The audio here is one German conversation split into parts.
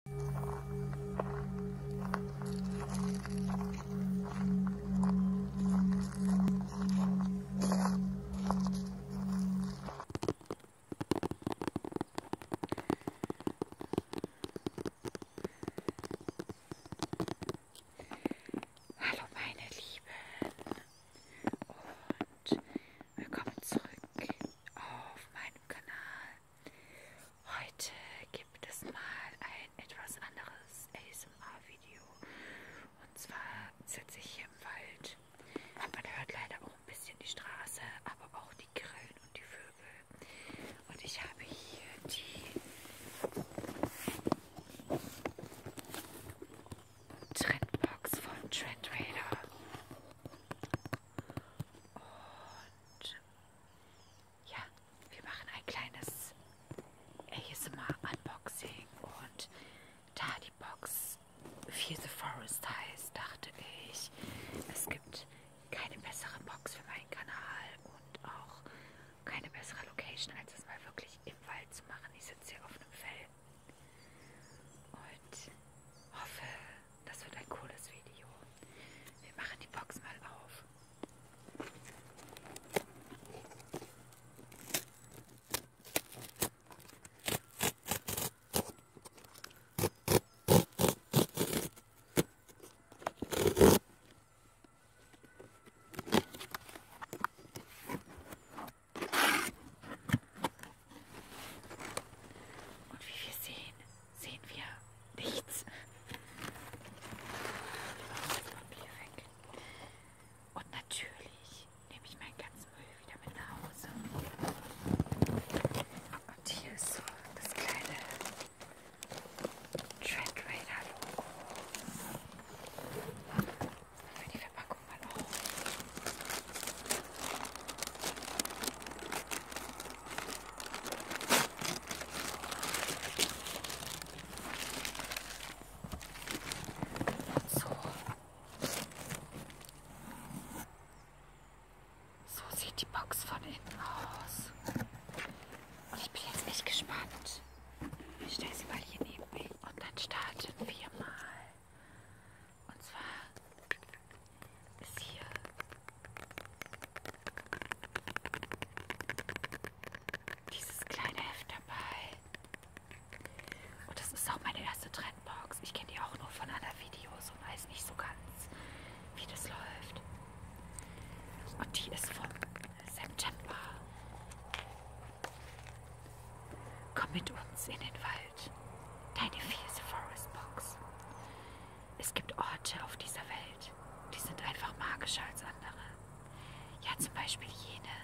Hallo meine Lieben und willkommen zurück auf meinem Kanal. Heute gibt es mal ein etwas anderes ASMR-Video. Und zwar sitze ich hier im Wald. Man hört leider auch ein bisschen die Straße, aber auch die Grillen und die Vögel. Und ich habe hier die Trendbox von Trend Raider. Und ja, wir machen ein kleines ASMR-Unboxing und da die Box Fear the Forest heißt, dachte ich, es gibt keine bessere Box für meinen Kanal und auch keine bessere Location, als es mal wirklich im Wald zu machen. Ich sitze hier auf einem Fell und hoffe, das wird ein cooles Video. Wir machen die Box mal auf. Und wie wir sehen, sehen wir nichts. Das Papier weg. Und natürlich nehme ich meinen ganzen Müll wieder mit nach Hause. Und oh hier ist so das kleine Trend Raider Logo. Machen wir die Verpackung mal auf. So. So sieht die Box von innen aus. Und ich bin jetzt echt gespannt. Ich stelle sie mal hier neben mich. Und dann starten wir mal. Und zwar siehe. Dieses kleine Heft dabei. Und das ist auch meine erste Trendbox. Ich kenne die auch nur von anderen Videos und weiß nicht so ganz, wie das läuft. Und die ist vom September. Komm mit uns in den Wald. Deine vierte Forest Box es gibt Orte auf dieser Welt, die sind einfach magischer als andere. Ja, zum Beispiel jene,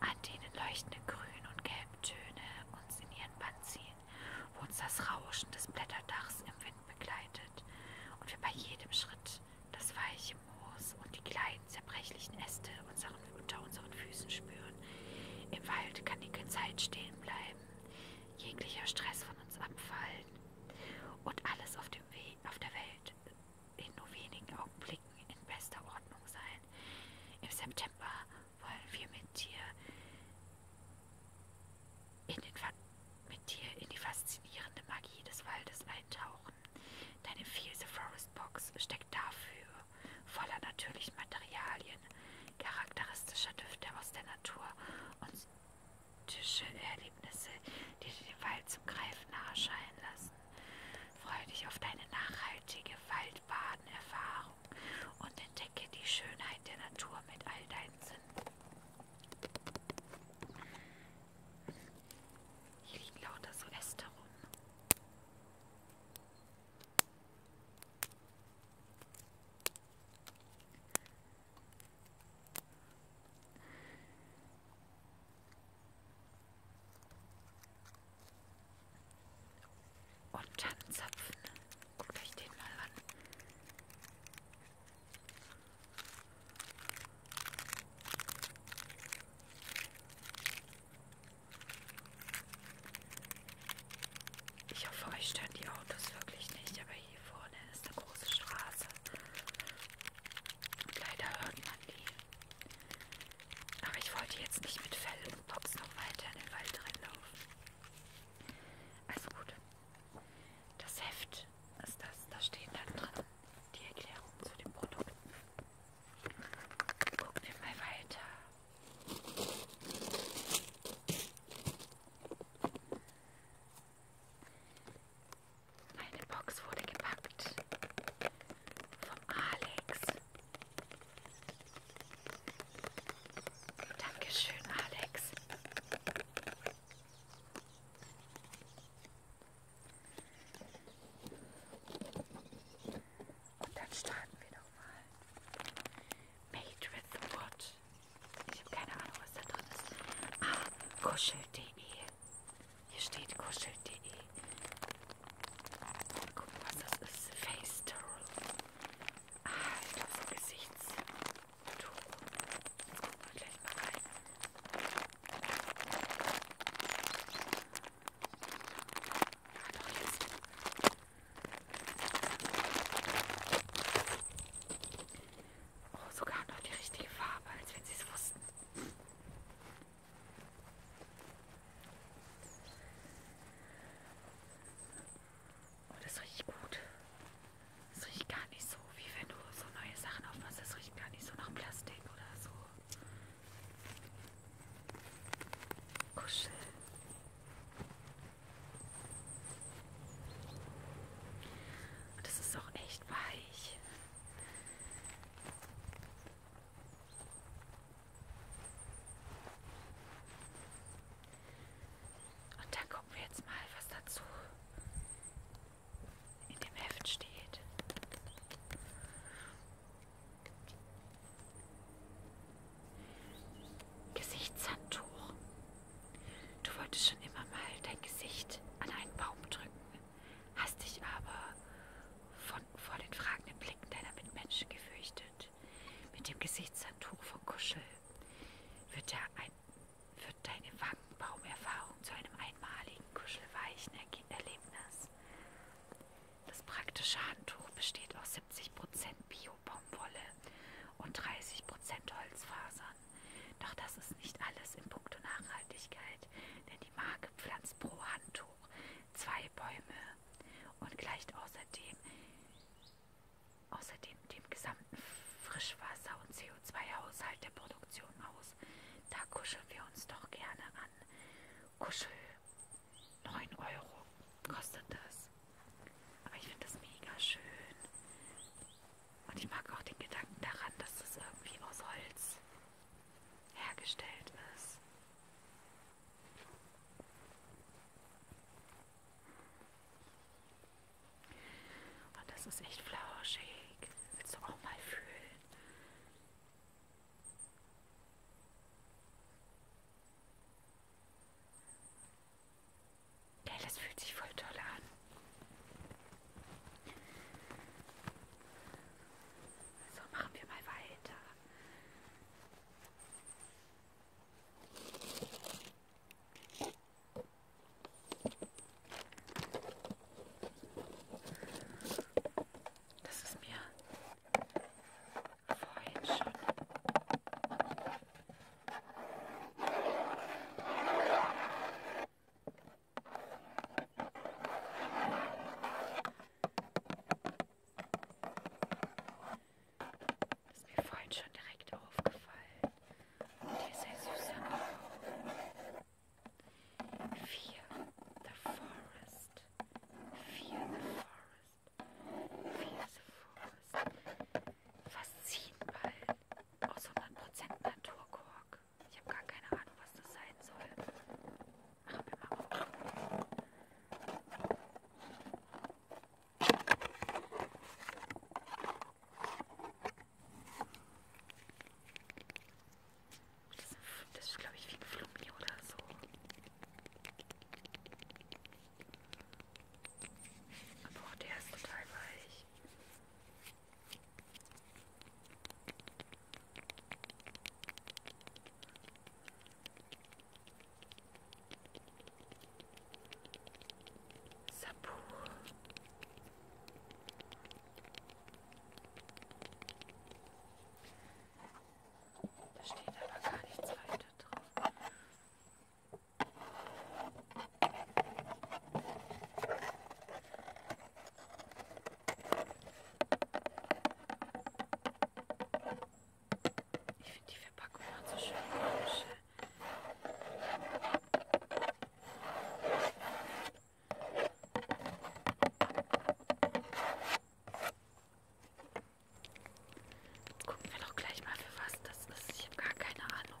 an denen leuchtende Grün- und Gelbtöne uns in ihren Bann ziehen, wo uns das Rauschen des Blätterdachs im Wind begleitet und wir bei jedem Schritt das weiche Moos und die kleinen zerbrechlichen Äste unseren, unter unseren Füßen spüren. Im Wald kann die Zeit stehen bleiben, jeglicher Stress von uns abfallen und alles auf, dem We auf der Welt in nur wenigen Augenblicken in bester Ordnung sein. Im September wollen wir mit dir in, den Fa mit dir in die faszinierende Magie des Waldes eintauchen. Deine Fielse Forest Box steckt dafür voller natürlichen Materialien, charakteristischer Düfte aus der Natur und romantische Erlebnisse, die dir den Wald zum Greifen nahe erscheinen lassen. Freue dich auf deine nachhaltige Waldbadenerfahrung und entdecke die Schönheit der Natur mit all deinen Sinnen. Hier liegen lauter so Äste rum. Und Tannenzapfen. Guckt euch den mal an. Ich hoffe, euch stören die Autos wirklich nicht, aber weil hier vorne ist eine große Straße. Und leider hört man die. Aber ich wollte jetzt nicht mit Fell und Box noch weiter in den Wald reinlaufen. Also gut. Das Heft ist das. Da steht dann drin die Erklärung zu dem Produkt. Gucken wir mal weiter. Eine Box wurde gepackt vom Alex. Dankeschön, Alex. Und dann starten wir nochmal. Made with wood. Ich habe keine Ahnung, was da drin ist. Ah, kuschel.de. Hier steht kuschel.de. Guck mal, was das ist. Face Towel. Ah, ich glaube, so Gesichtstuch. Jetzt gucken wir gleich mal rein. Ah, doch, hier ist Oh, sogar noch die richtige Farbe, als wenn sie es wussten. Oh, das riecht gut. Das riecht gar nicht so, wie wenn du so neue Sachen aufmachst. Das riecht gar nicht so nach Plastik oder so. Kuscheln. Und das ist auch echt weich. Und dann gucken wir jetzt mal, was dazu in dem Heft steht. Gesichtshandtuch. Du wolltest schon immer mal dein Gesicht an einen Baum drücken, hast dich aber von, vor den fragenden Blicken deiner Mitmenschen gefürchtet. Mit dem Gesichtshandtuch von Kuschel wird, der ein, wird deine Wangenbaumerfahrung zu einem einmaligen, kuschelweichen Erlebnis. Das praktische Handtuch besteht aus 70% Bio-Baumwolle und 30% Holzfasern. Doch das ist nicht alles in puncto Nachhaltigkeit, denn die Marke pflanzt pro Handtuch zwei Bäume und gleicht außerdem, außerdem dem gesamten Frischwasser- und CO2-Haushalt der Produktion aus. Da kuscheln wir uns doch gerne an. Kuschel, 9 Euro kostet das. Aber ich finde das mega schön. Und ich mag auch den Gedanken daran, dass das irgendwie aus Holz hergestellt ist. Und das ist echt flauschig. Willst du auch mal fühlen? Geil, ja, das fühlt sich voll toll an. So, machen wir mal weiter. Das ist mir vorhin schon das ist mir vorhin schon direkt aufgefallen. Und hier ist ein süßer Blau. Vier, The Forest. Vier, The Forest. Vier, The Forest. Fast zehn Ballen. Aus 100% Naturkork. Ich habe gar keine Ahnung, was das sein soll. Mach mir mal auf. Das ist, das ist glaube ich, wie Flummi oder so. Aber auch der ist total weich. Sapu. Da steht aber gar nichts weiter drauf. Ich finde die Verpackung hat so schön komische. Gucken wir doch gleich mal, für was das ist. Ich habe gar keine Ahnung.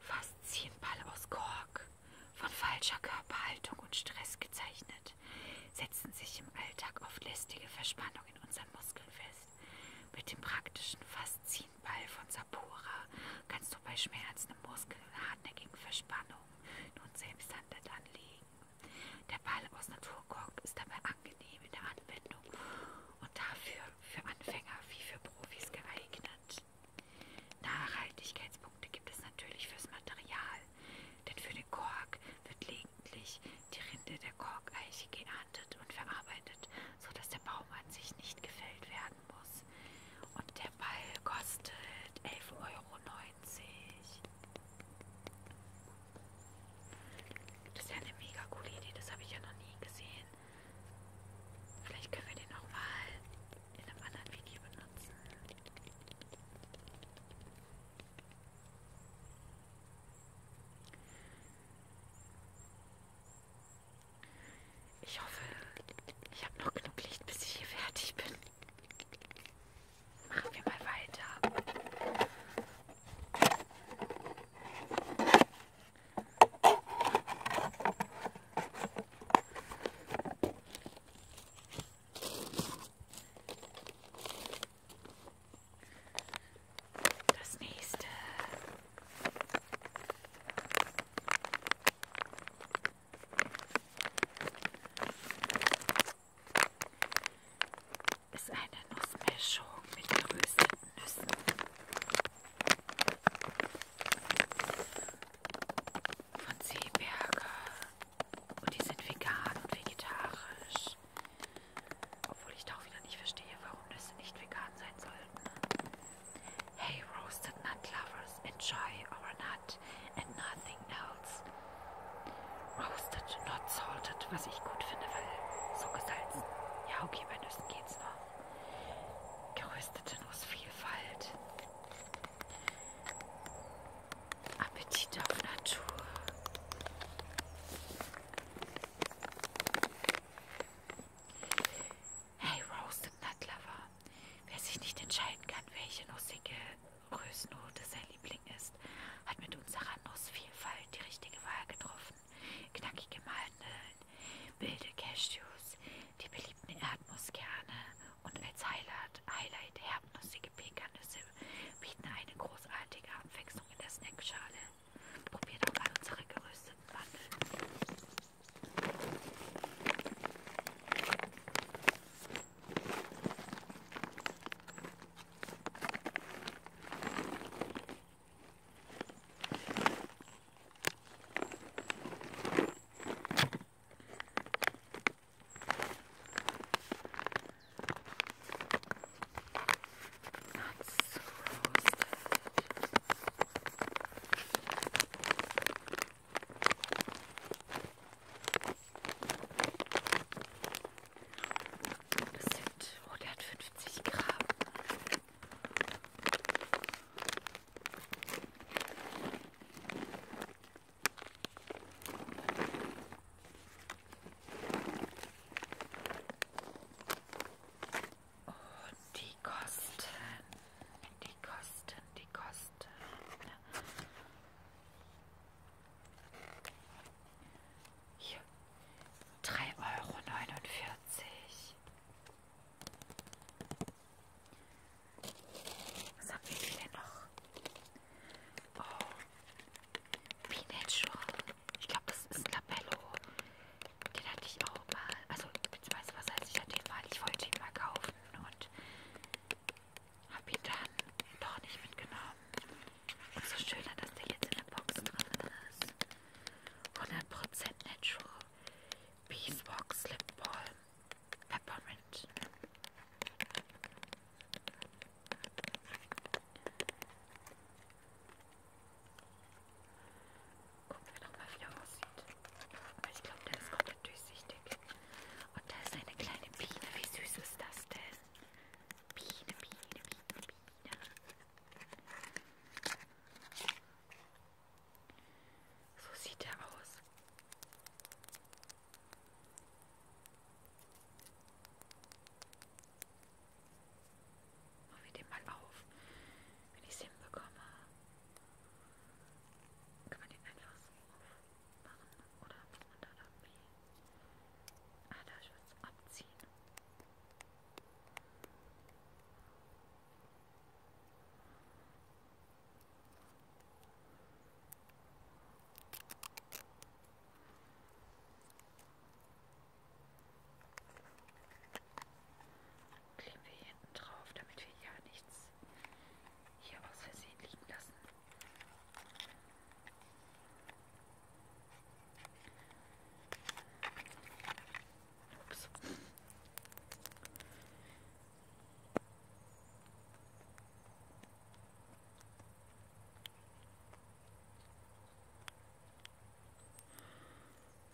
Faszienball aus Kork, von falscher Körperhaltung und Stress gezeichnet, setzen sich im Alltag oft lästige Verspannungen in unseren Muskeln fest. Mit dem praktischen Faszienball von Sapora kannst du bei Schmerzen im Muskel und hartnäckigen Verspannungen nun selbst Hand anlegen. Der Ball aus Naturkork ist dabei angenehm in der Anwendung und dafür für Anfänger wie für Profis geeignet. Nachhaltigkeitspunkte gibt es natürlich fürs Material, denn für den Kork wird lediglich die Rinde der Korkeiche geerntet und verarbeitet, sodass der Baum an sich nicht gefällt werden muss. Und der Ball kostet 11,90 Euro. Das ist ja eine mega coole Idee, das habe ich ja noch nie gesehen. Vielleicht können wir den noch mal in einem anderen Video benutzen. Ich hoffe, ich habe noch genug Licht, bis ich hier fertig bin. Machen wir mal weiter. Das nächste. Ist eine Nussmischung mit gerösteten Nüssen. Von Seeberger. Und die sind vegan und vegetarisch. Obwohl ich da auch wieder nicht verstehe, warum Nüsse nicht vegan sein sollten. Hey, roasted nut lovers, enjoy our nut and nothing else. Roasted, not salted, was ich gut finde, weil so gesalzen. Ja, okay, bei Nüssen geht's noch. Geröstete Nussvielfalt. Appetit auf Natur. Hey, Roasted Nut Lover. Wer sich nicht entscheiden kann, welche nussige Rösnote sein Liebling ist, hat mit unserer Nussvielfalt die richtige Wahl getroffen knackige Mandeln, wilde Cashews, die beliebten Erdnusskerne und als Highlight, Highlight herbnussige Pekannüsse bieten eine großartige Abwechslung in der Snackschale. Probiert auch mal unsere gerösteten Mandeln. Das sind, oh, der hat 50 Gramm die Kosten, die Kosten, die Kosten. Hier, drei Euro neunundvierzig. Was haben wir denn noch? Oh. Be Natural. Ich glaube, das ist Labello. Den hatte ich auch mal. Also, beziehungsweise, was heißt, ich hatte ihn mal. Ich wollte ihn mal kaufen und habe ihn dann doch nicht mitgenommen. Und so schön, dass der jetzt in der Box drin ist. 100% Natural Beeswax Lip Balm Peppermint. Gucken wir nochmal, wie der aussieht. Ich glaube, der ist komplett durchsichtig. Und da ist eine kleine Biene. Wie süß ist das denn? Biene, Biene, Biene, Biene. So sieht er aus. Machen wir den mal auf, wenn ich es hinbekomme. Kann man den einfach so aufmachen oder muss man da irgendwie... Ah, da ich was abziehen. Kleben wir hinten drauf, damit wir ja nichts hier aus Versehen liegen lassen. Ups.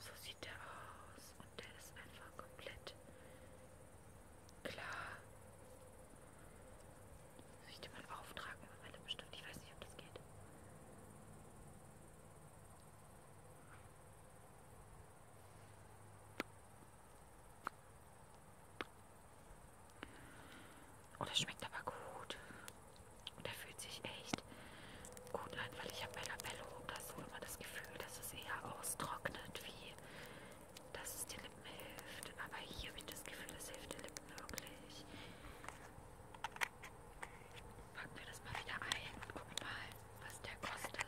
So sieht der aus und der ist einfach komplett klar. Soll ich den mal auftragen mit meinem Lippenstift? Ich weiß nicht, ob das geht. Oh, das schmeckt aber gut. Und der fühlt sich echt gut an, weil ich habe bei Labello oder so immer das Gefühl, dass es eher austrocknet, wie dass es den Lippen hilft. Aber hier habe ich das Gefühl, es hilft den Lippen wirklich. Packen wir das mal wieder ein und gucken mal, was der kostet.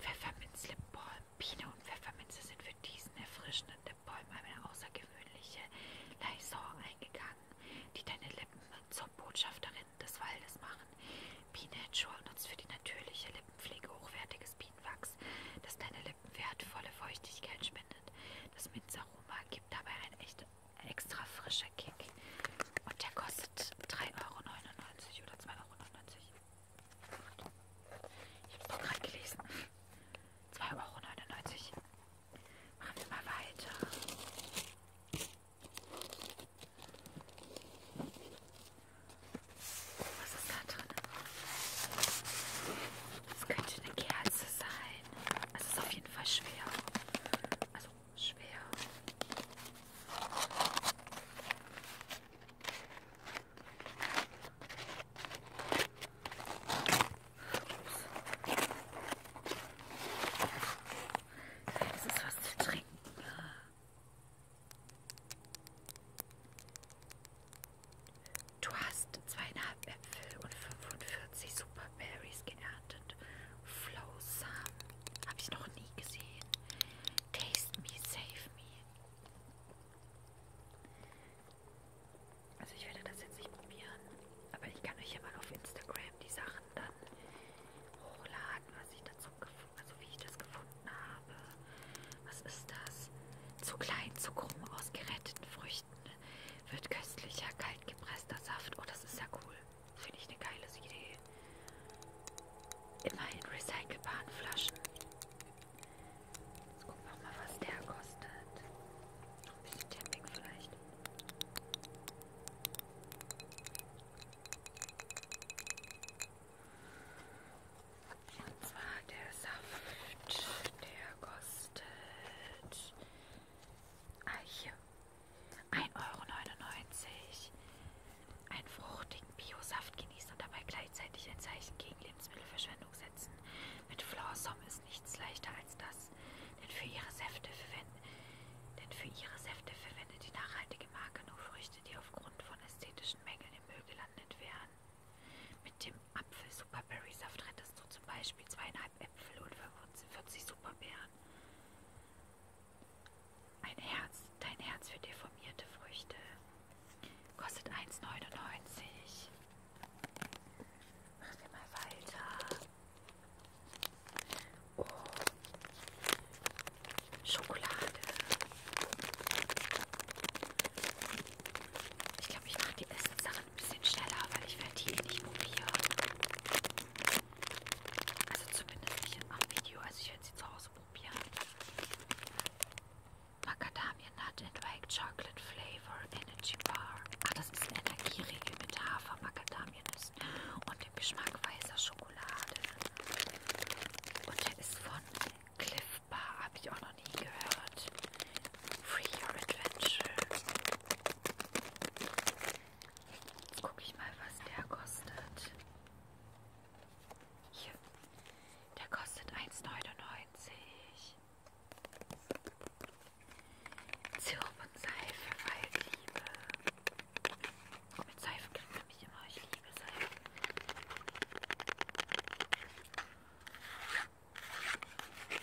Pfefferminz Lipbalm. Biene und Pfefferminze sind für diesen erfrischenden Lipbalm eine außergewöhnliche Liaison eingegangen, die deine Lippen zur Botschafterin Blüten des Waldes machen. Biene Headshore nutzt für die natürliche Lippenpflege hochwertiges Bienenwachs, das deine Lippen wertvolle Feuchtigkeit spendet. Das Minzaroma gibt dabei einen echt extra frischer Kick. Und der kostet 3,99 Euro oder 2,99 Euro. Ich habe es gerade gelesen. 2,99 Euro. Machen wir mal weiter. Was ist da drin? Das könnte eine Kerze sein. Es ist auf jeden Fall schwer. Also schwer. Das ist was zu trinken. Du hast zweieinhalb Äpfel und 45 Superberries geerntet. Flowsamen habe ich noch nie gesehen. Taste me, save me. Also ich werde das jetzt nicht probieren, aber ich kann euch ja mal auf Instagram die Sachen dann hochladen, was ich dazu so also wie ich das gefunden habe. Was ist das? Zu klein, zu krumm aus geretteten Früchten wird köstlicher, kalt gepresster Saft. Oh, das ist ja cool. Finde ich eine geile Idee. Immer in recycelbaren Flaschen. Jetzt gucken wir mal, was der kostet. Ein bisschen Tapping vielleicht. Und zwar der Saft, der kostet ah, hier 1,99 Euro. Einen fruchtigen Bio-Saft genießen und dabei gleichzeitig ein Zeichen gegen Lebensmittelverschwendung setzen. Mit Florsom ist nichts leichter als das, denn für ihre Säfte verwenden, denn für ihre Säfte verwendet die nachhaltige Marke nur Früchte Früchte, die aufgrund von ästhetischen Mängeln im Müll gelandet wären. Mit dem Apfel-Superberry-Saft rettest du zum Beispiel zweieinhalb Äpfel und 45 Superbeeren. Ein Herz, dein Herz für deformierte Früchte. Kostet 1,99. Machen wir mal weiter. Oh. Schokolade. Ich glaube, ich mache die Essenssachen ein bisschen schneller, weil ich werde hier eh nicht probieren. Also zumindest nicht am Video. Also ich werde sie zu Hause probieren. Macadamia Nut and White Chocolate Flavor Energy Bar. Ah, das ist ein Energieriegel mit Hafer, Macadamia-Nüssen und dem Geschmack weißer Schokolade. Und der ist von Cliff Bar, habe ich auch noch nie gehört. Free Your Adventure. Jetzt gucke ich mal, was der kostet. Hier. Der kostet 1,99. Sirup und Seife, Waldliebe. Mit Seifen kriegt man mich immer. Ich liebe Seifen. Jetzt gucken,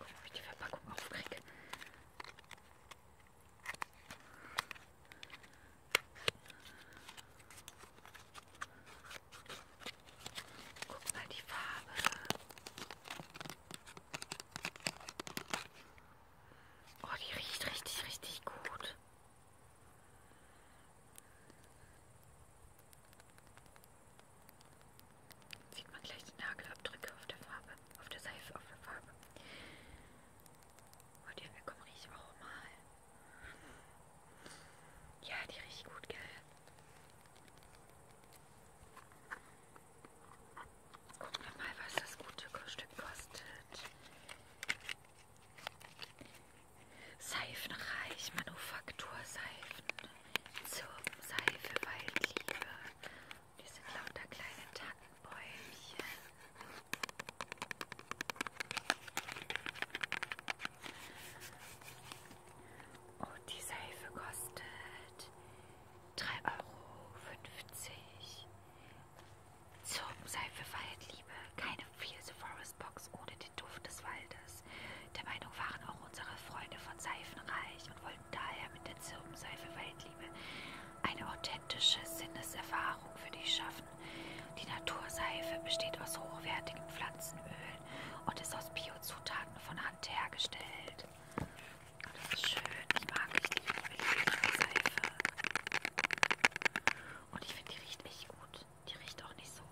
ob ich die Verpackung aufkriege. Guck mal die Farbe. Oh, die riecht richtig, richtig gut. Sieht man gleich die Nagelabdrücke auf der Farbe, auf der Seife, auf der Farbe. Oh, die Hände kommen riech auch mal. Ja, die riecht gut, gell? Mal was das gute Stück kostet. Seifenreich, Manufakturseifen, Seife, Waldliebe. Die sind lauter kleine Tannenbäumchen. Und oh, die Seife kostet 3,50 Euro. Zirpenseife Waldliebe. Keine Feel the Forest Box ohne den Duft des Waldes. Der Meinung waren auch unsere Freunde von Seifenreich und wollten daher mit der Zirpenseife Waldliebe eine authentische Sinneserfahrung für dich schaffen. Die Naturseife besteht aus hochwertigen Pflanzenölen und ist aus Biozutaten von Hand hergestellt. Das ist schön. Ich mag richtig die Seife. Und ich finde, die riecht echt gut. Die riecht auch nicht so,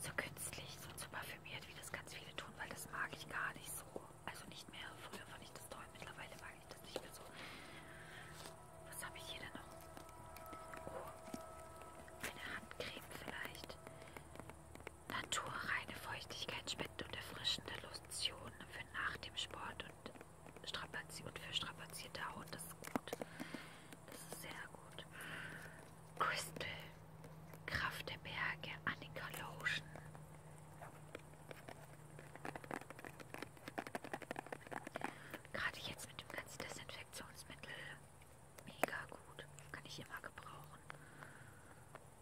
so künstlich, so zu parfümiert, wie das ganz viele tun, weil das mag ich gar nicht so. Also nicht mehr. Früher fand ich das toll, mittlerweile mag ich das nicht mehr so. Was habe ich hier denn noch? Oh, eine Handcreme vielleicht. Naturreine Feuchtigkeit spendet und erfrischende Lotion für nach dem Sport und, Strapazi und für strapazierte Haut. Das ist gut. Das ist sehr gut. Crystal. Kraft der Berge. Annika Lotion. Gerade jetzt mit dem ganzen Desinfektionsmittel. Mega gut. Kann ich immer gebrauchen. Und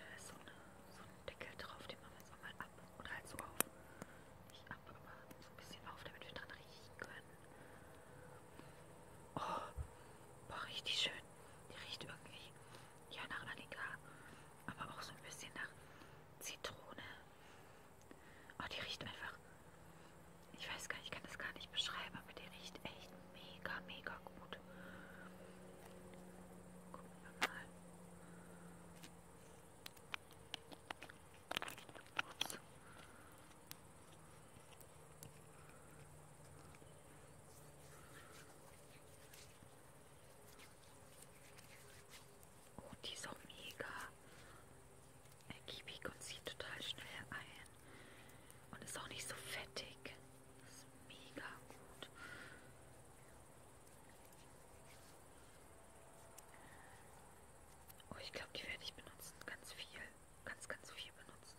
da ist so, eine, so ein Deckel drauf, den machen wir jetzt auch mal ab oder halt so auf. Nicht ab, aber so ein bisschen auf, damit wir dran riechen können. Oh, boah, richtig schön. Die riecht irgendwie ja nach Annika, aber auch so ein bisschen nach Zitrone. Oh, die riecht einfach, ich weiß gar nicht, ich kann das gar nicht beschreiben, aber die riecht echt mega, mega gut. Gucken wir mal. Ups. Oh, die ist auch mega ergiebig und zieht total schnell ein. Und ist auch nicht so fettig. Das ist mega gut. Oh, ich glaube, die werde ich benutzen. Ganz viel. Ganz, ganz viel benutzen.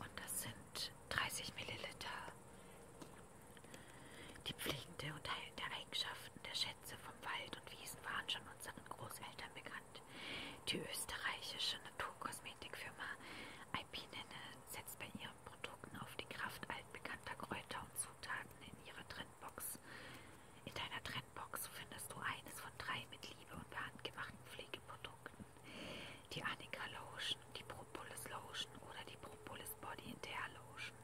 Und das sind 30 Milliliter. Die pflegende und heilende Eigenschaften der Schätze vom Wald und Wiesen waren schon unseren Großeltern bekannt. Die österreichische Naturkosmetikfirma Alpinenne setzt bei ihren Produkten auf die Kraft altbekannter Kräuter und Zutaten in ihrer Trendbox. In deiner Trendbox findest du eines von drei mit Liebe und handgemachten Pflegeprodukten die Annika Lotion, die Propolis Lotion oder die Propolis Body in der Lotion.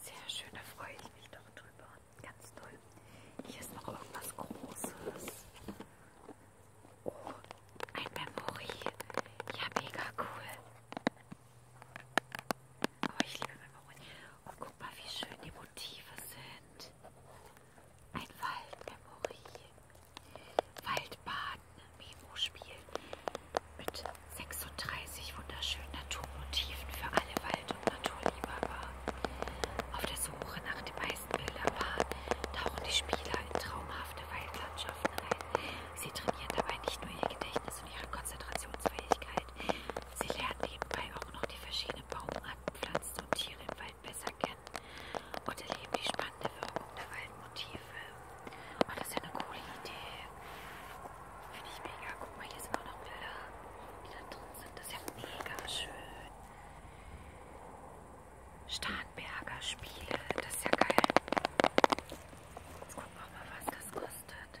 Sehr schön, da freue ich mich doch drüber. Ganz toll. Hier ist noch irgendwas Großes. Oh, ein Memory. Ja, mega cool. Oh, ich liebe Memory. Und guck mal, wie schön die Motive sind. Ein Waldmemory. Waldbaden, ne, Memo-Spiel mit 36 wunderschönen Naturmotiven für alle Wald- und Naturliebhaber. Auf der Suche nach dem meisten Bilderpaar tauchen die Spieler in traumhafte Waldlandschaften ein. Sie trainieren dabei nicht nur ihr Gedächtnis und ihre Konzentrationsfähigkeit, sie lernen nebenbei auch noch die verschiedenen Baumarten, Pflanzen und Tiere im Wald besser kennen und erleben die spannende Wirkung der Waldmotive. Oh, das ist ja eine coole Idee. Finde ich mega. Guck mal, hier sind auch noch Bilder, die da drin sind. Das ist ja mega schön. Starnberger Spiele, das ist ja geil. Jetzt gucken wir mal, was das kostet.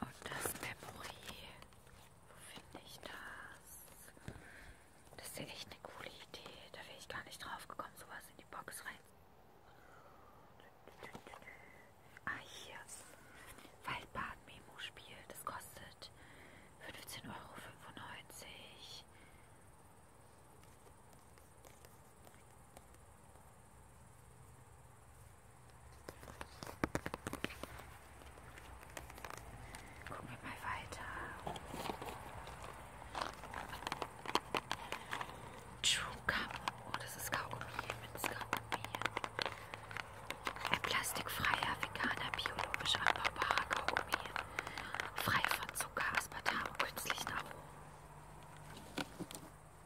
Und das Memory. Wo finde ich das? Das ist ja echt eine coole Idee. Da wäre ich gar nicht drauf gekommen, sowas in die Box rein. Ah, hier. Waldbad-Memo-Spiel. Das kostet 15,95 Euro. Gucken wir mal weiter. Chewgum. Oh, das ist Kaugummi mit Kaugummi. Ein plastikfreier, veganer, biologisch anbaubarer Kaugummi. Frei von Zucker, Aspartam und künstlichen Aromen.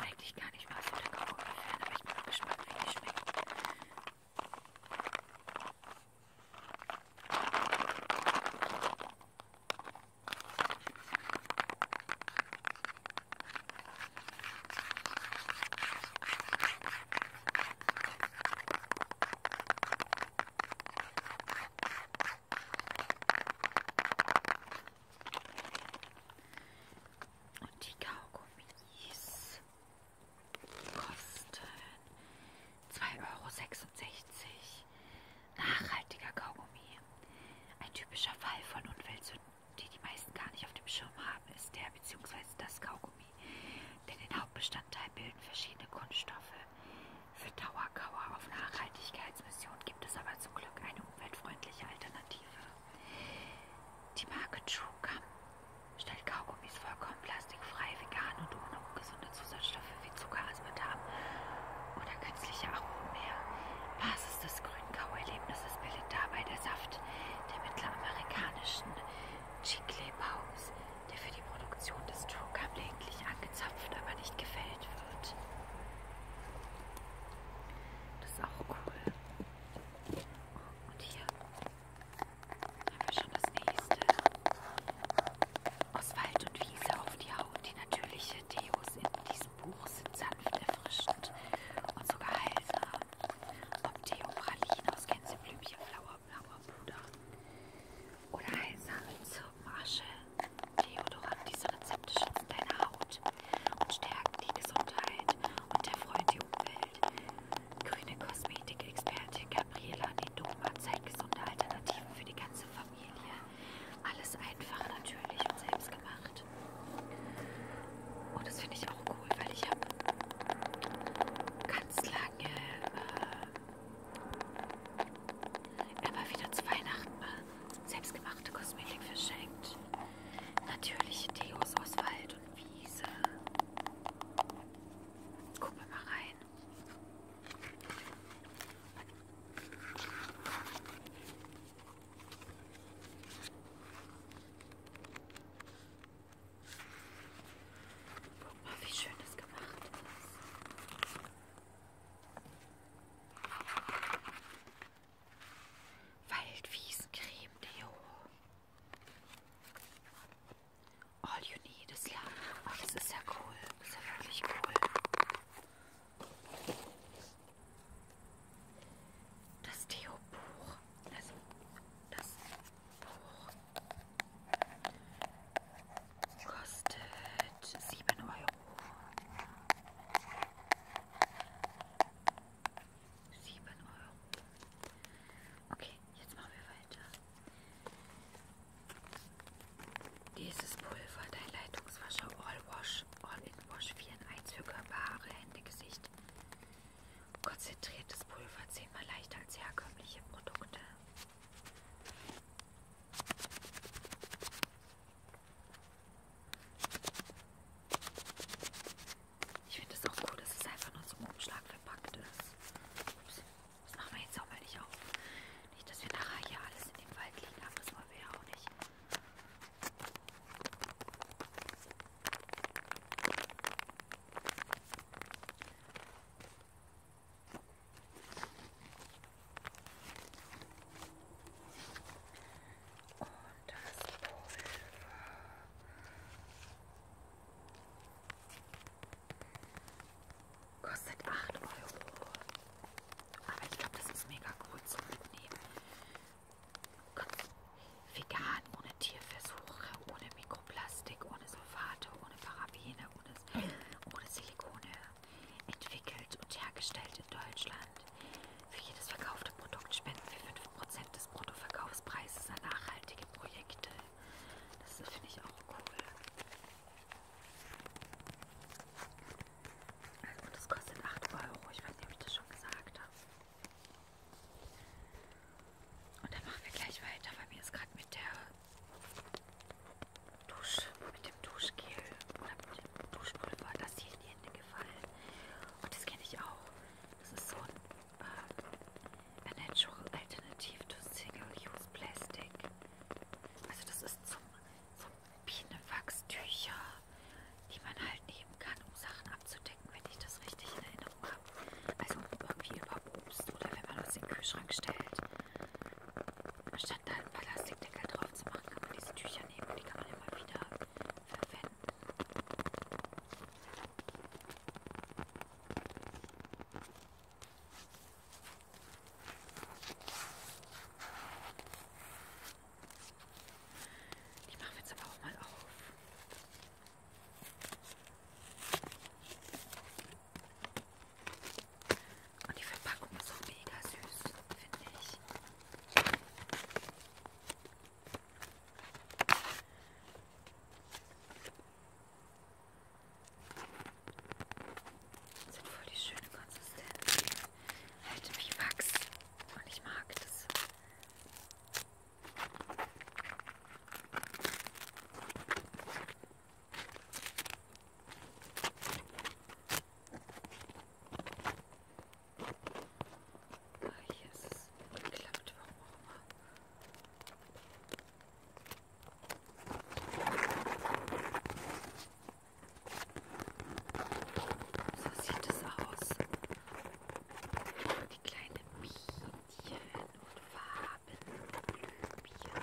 eigentlich gar nicht mal so der Kaugummi-Fan, aber ich bin mal gespannt, wie die schmecken. Und die Kaugummis kosten 2,66 Euro. Nachhaltiger Kaugummi. Ein typischer Fall von Unweltsünden, die die meisten gar nicht auf dem Schirm haben, ist der bzw. das Kaugummi. Denn den Hauptbestandteil bilden verschiedene Kunststoffe. Für Dauerkauer auf Nachhaltigkeitsmission gibt es aber zum Glück eine umweltfreundliche Alternative. Die Marke Chukam stellt Kaugummis vollkommen plastikfrei, vegan und ohne ungesunde Zusatzstoffe wie Zucker, Aspartam oder künstliche Aromen her. Basis des grünen Kauerlebnisses bildet dabei der Saft der mittelamerikanischen Chicle-Paus, der für die Produktion des Chukam lediglich angezapft, aber nicht gefällt wird. Das ist auch cool. Und hier haben wir schon das nächste. Aus Wald und Wiese auf die Haut. Die natürliche Deos in diesem Buch sind sanft erfrischend und sogar heilsam. Ob Deo Pralin aus Gänseblümchen, blauer, blauer Puder oder heilsame Zirbenasche. Deodorant, diese Rezepte schützen deine Haut und stärken die Gesundheit und erfreuen die Umwelt. Grüne Kosmetikexpertin Gabriela Nedoma zeigt gesunde Alternativen für die ganze Familie. Alles einfach, natürlich und selbst gemacht. Und das finde ich auch cool, weil ich habe ganz lange äh, immer wieder zu Weihnachten selbstgemachte Kosmetik verschenkt. Natürliche Deos aus Wald und Wiese. Gucken wir mal rein. Guck mal, wie schön das gemacht ist. Waldwiesencreme Deo. All you need ist ja. Oh, das ist ja cool. Das ist ja wirklich cool. Das Deo-Buch. Also, das Buch kostet 7 Euro. 7 Euro. Okay, jetzt machen wir weiter. Dieses Pulver, dein Leitungswascher All Wash, All in Wash 4 in 1 für Körperhaare, Hände, Gesicht. Konzentriertes Pulver, zehnmal leichter als herkömmliche Produkte. Ich finde es auch cool, dass es einfach nur zum Umschlag verpackt ist. Ups, das machen wir jetzt auch mal nicht auf. Nicht, dass wir nachher hier alles in dem Wald liegen haben, das wollen wir ja auch nicht und das Pulver kostet 8 Euro. Aber ich glaube, das ist mega gut zu mitnehmen. Ganz vegan, ohne Tierversuche, ohne Mikroplastik, ohne Sulfate, ohne Parabene, ohne, ohne Silikone. Entwickelt und hergestellt in Deutschland. Für jedes verkaufte Produkt spenden wir 5% des Bruttoverkaufspreises an nachhaltige Projekte. Das finde ich auch cool. Also, und das kostet 8 Euro. Ich weiß nicht, ob ich das schon gesagt habe. Und dann machen wir gleich weiter, weil mir ist gerade mit der Dusch, mit dem Duschgel oder mit dem Duschpulver das hier in die Hände gefallen. Und das kenne ich auch. Das ist so ein um, äh, a natural alternative to single-use plastic. Also das ist zum, zum Bienenwachstücher, die man halt nehmen kann, um Sachen abzudecken, wenn ich das richtig in Erinnerung habe. Also irgendwie über Obst oder wenn man was in den Kühlschrank stellt. Anstatt da einen Plastikdeckel drauf zu machen, kann man diese Tücher nehmen und die kann man immer wieder verwenden. Die machen wir jetzt aber auch mal auf. Und die Verpackung ist so mega süß, finde ich. Das sind voll die schöne Konsistenz. Halt wie Wachs. Und ich mag das. Ah, hier ist es geklappt, warum auch immer. So sieht es aus. Die kleinen Bienchen und Farben und Blümchen.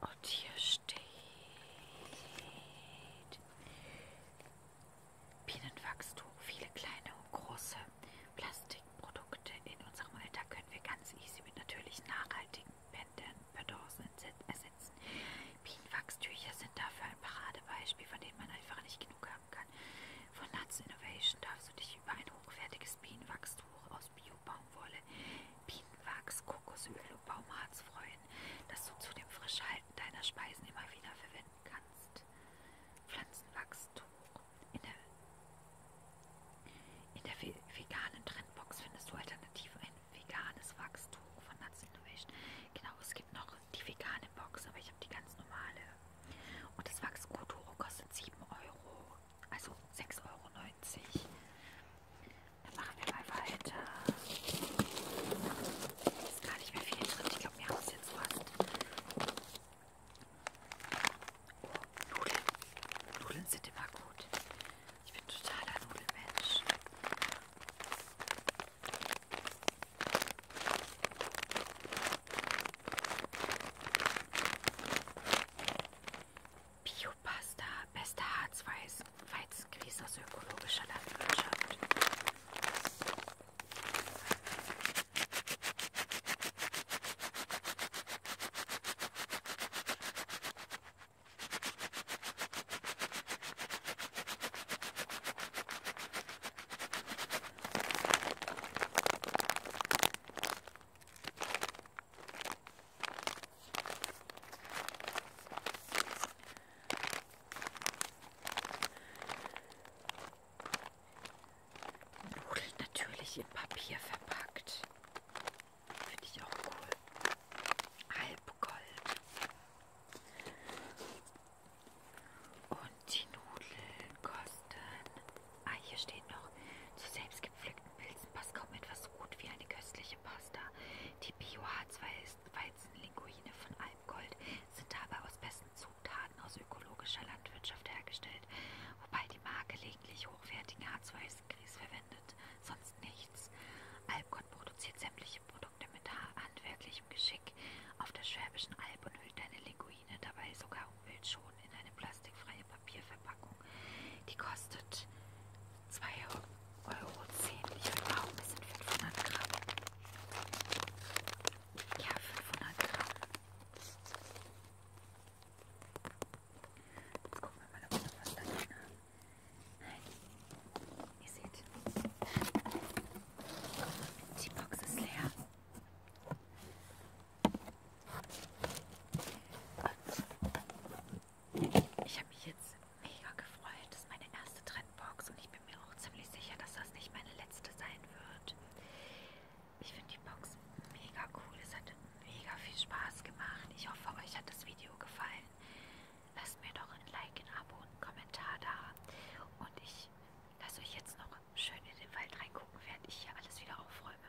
Und hier steht Bienenwachstum, viele kleine und große Plastikprodukte. In unserem Alltag können wir ganz easy mit natürlichen, nachhaltigen Pendants ersetzen. Bienenwachstücher sind dafür ein Paradebeispiel, von denen man einfach nicht genug haben kann. Von Nuts Innovation darfst du dich über ein hochwertiges Bienenwachstuch aus Biobaum Baumwolle, Bienenwachs, Kokosöl und Baumharz freuen, das du zu dem Frischhalten deiner Speisen immer wieder verwenden kannst. Pflanzenwachstuch. In der, in der veganen Trendbox findest du alternativ ein veganes Wachstuch von Nuts Innovation. Genau, es gibt noch die vegane Box, aber ich habe die ganz normale. Und das Wachskulturo kostet 7 Euro. Also 6,90 Euro. Dann machen wir mal weiter. Ist gar nicht mehr viel drin. Ich glaube, wir haben es jetzt fast. Oh, Nudeln. Nudeln sind immer gut. Ich bin totaler Nudelmensch. Bio Bio-Pasta, beste Harzweiß, Weizengrieß aus ökologischer Landwirtschaft. Nudeln natürlich in Papier verpackt. Finde ich auch cool. Halbgold. Und die Nudeln kosten. Ah, hier steht noch zu selbst gepflückten Pilzen passt kaum etwas so gut wie eine köstliche Pasta. Die Bio-H2-Weizenlinguine von Almgold sind dabei aus besten Zutaten aus ökologischer Landwirtschaft hergestellt, wobei die Marke lediglich hochwertigen H2-Grieß verwendet, sonst nichts. Almgold produziert sämtliche Produkte mit handwerklichem Geschick auf der Schwäbischen Alb und hüllt eine Linguine dabei sogar umweltschonend in eine plastikfreie Papierverpackung. Die kostet 2,10 Euro. Ich bin auch ein bisschen 500 Gramm. Ja, 500 Gramm. Jetzt gucken wir mal, ob wir noch was da drin ne? haben. Nein. Ihr seht, die Box ist leer. Und ich habe mich jetzt mega gefreut. Das ist meine erste Trendbox und ich bin mir auch ziemlich sicher, dass das nicht meine letzte sein wird. Ich finde die Box mega cool. Es hat mega viel Spaß gemacht. Ich hoffe, euch hat das Video gefallen. Lasst mir doch ein Like, ein Abo und einen Kommentar da. Und ich lasse euch jetzt noch schön in den Wald reingucken, während ich hier alles wieder aufräume.